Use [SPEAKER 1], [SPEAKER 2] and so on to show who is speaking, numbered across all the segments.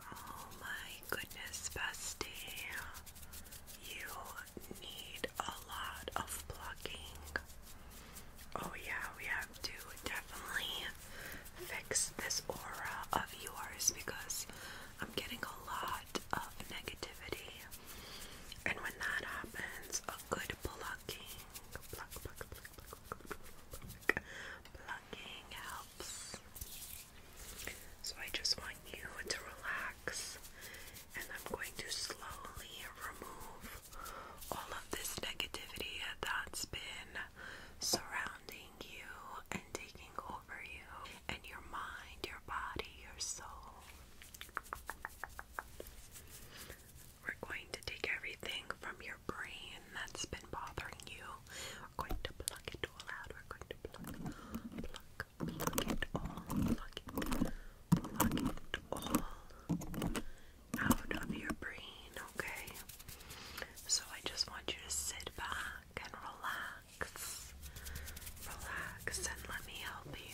[SPEAKER 1] Oh my goodness, bestie. You need a lot of plucking. Oh yeah, we have to definitely fix this aura of yours because I'm getting a lot of negativity. And when that happens, a good plucking, pluck, helps. So I just want you to relax, and I'm going to slowly remove all of this negativity that's been surrounding surrounding you and taking over you and your mind, your body, your soul. We're going to take everything from your brain that's been bothering you. We're going to pluck it all out. We're going to pluck, pluck, pluck it all, pluck it, pluck it all out of your brain, okay? So I just want you to sit back and relax. Relax and let me help you.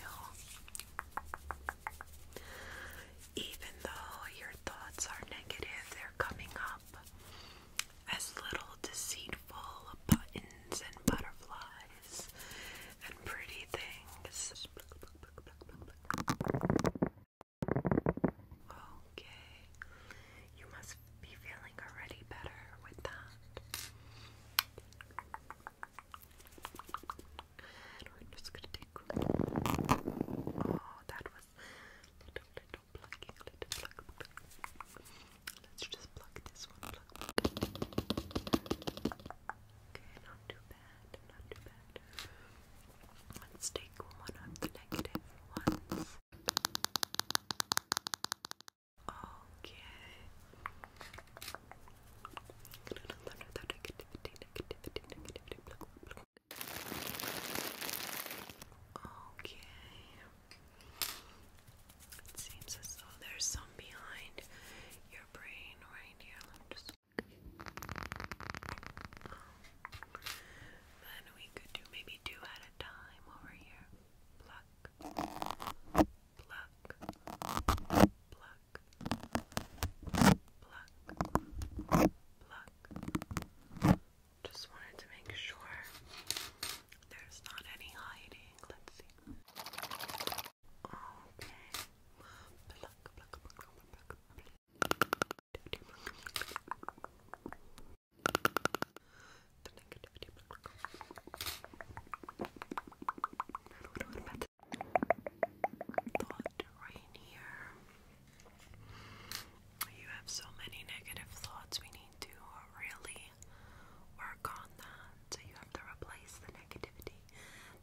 [SPEAKER 1] Even though your thoughts are negative, they're coming up as little deceitful buttons and butterflies and pretty things. Okay. You must be feeling already better with that. Oh, that was little, little plucking, little pluck, pluck. Let's just pluck this one. Okay, not too bad, not too bad. Let's take one of the negative ones. Okay. Okay. It seems as though there's some behind your brain right here. Then we could do maybe two at a time over here. Pluck, pluck, pluck, pluck, pluck. Just wanted to make sure there's not any hiding. Let's see. Okay. pluck, pluck, pluck, pluck, pluck. Thought right here. You have so many negative thoughts. We need to really work on that. So you have to replace the negativity,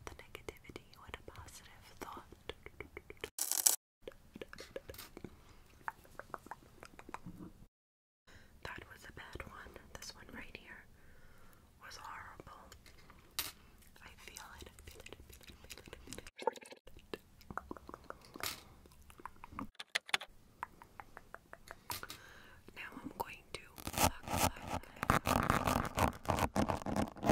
[SPEAKER 1] the negativity with a positive thought. That was a bad one. This one right here was horrible. I feel it. Now I'm going to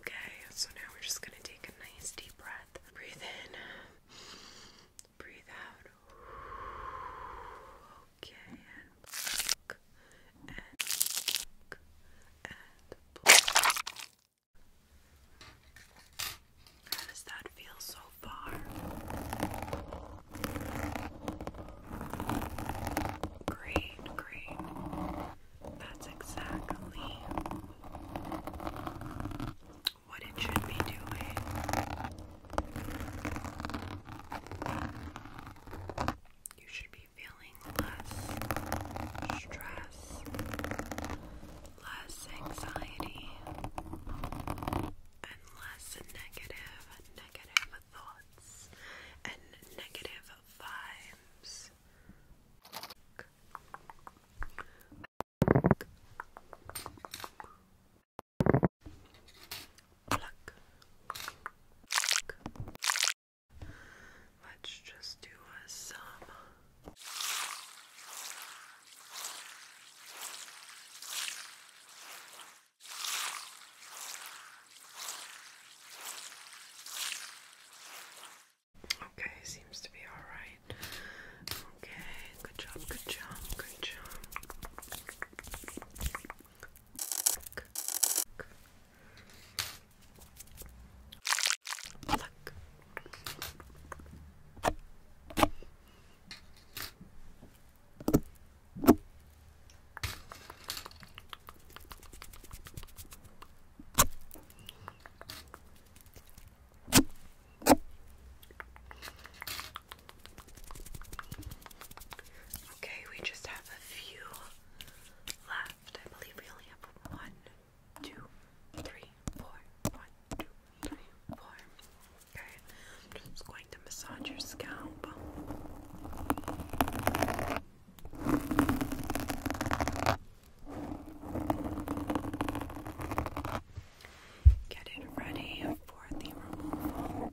[SPEAKER 1] Okay, so now we're just gonna take a nice deep breath. Breathe in, breathe out. Okay, and and and How does that feel so far. Great, great. That's exactly what it should be doing. You should be feeling less stress, less anxiety, and less negative, negative thoughts and negative vibes. Let's just do uh, some Okay, seems to be alright. Okay, good job, good job, good job. Look. Look. Okay, we just have a few left. I believe we only have one, two, three, four, one, two, three, four. I'm just going to massage your scalp. Get it ready for the removal.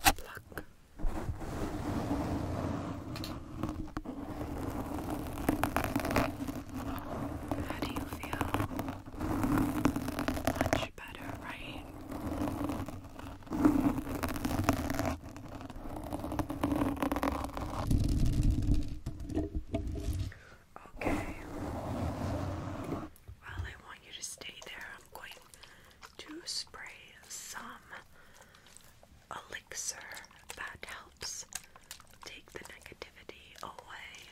[SPEAKER 1] how do you feel? Much better, right? Okay. Well, I want you to stay there. I'm going to spray some elixir that helps take the negativity away.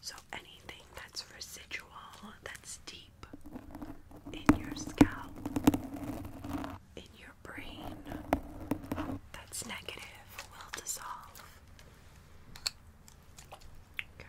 [SPEAKER 1] So anything that's residual, that's deep in your scalp, in your brain, that's negative will dissolve. Okay.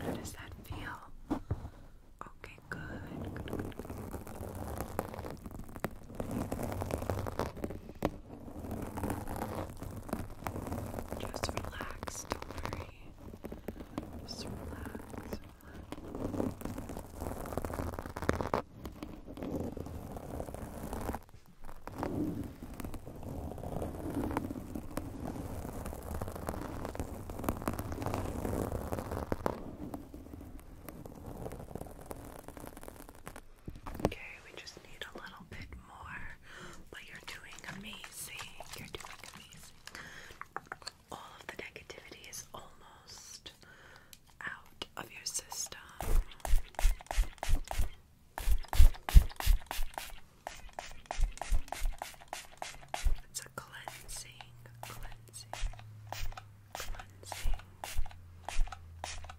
[SPEAKER 1] How does that feel? Okay, good. good, good, good. Just relax, don't worry. Just relax, relax. Just relax. Okay, we just need a little bit more, but you're doing amazing. You're doing amazing. All of the negativity is almost out of your system. It's a cleansing, cleansing, cleansing.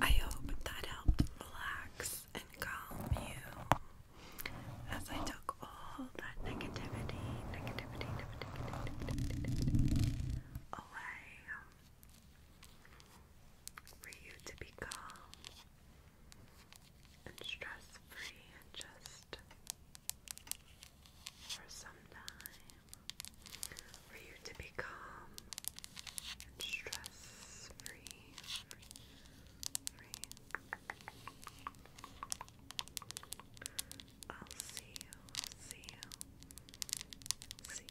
[SPEAKER 1] I hope that helped relax and calm you as I took all that negativity, away for you to be calm and stress free and just for some time for you to be calm and stress free. I'll see you, see you, see you Next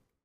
[SPEAKER 1] time.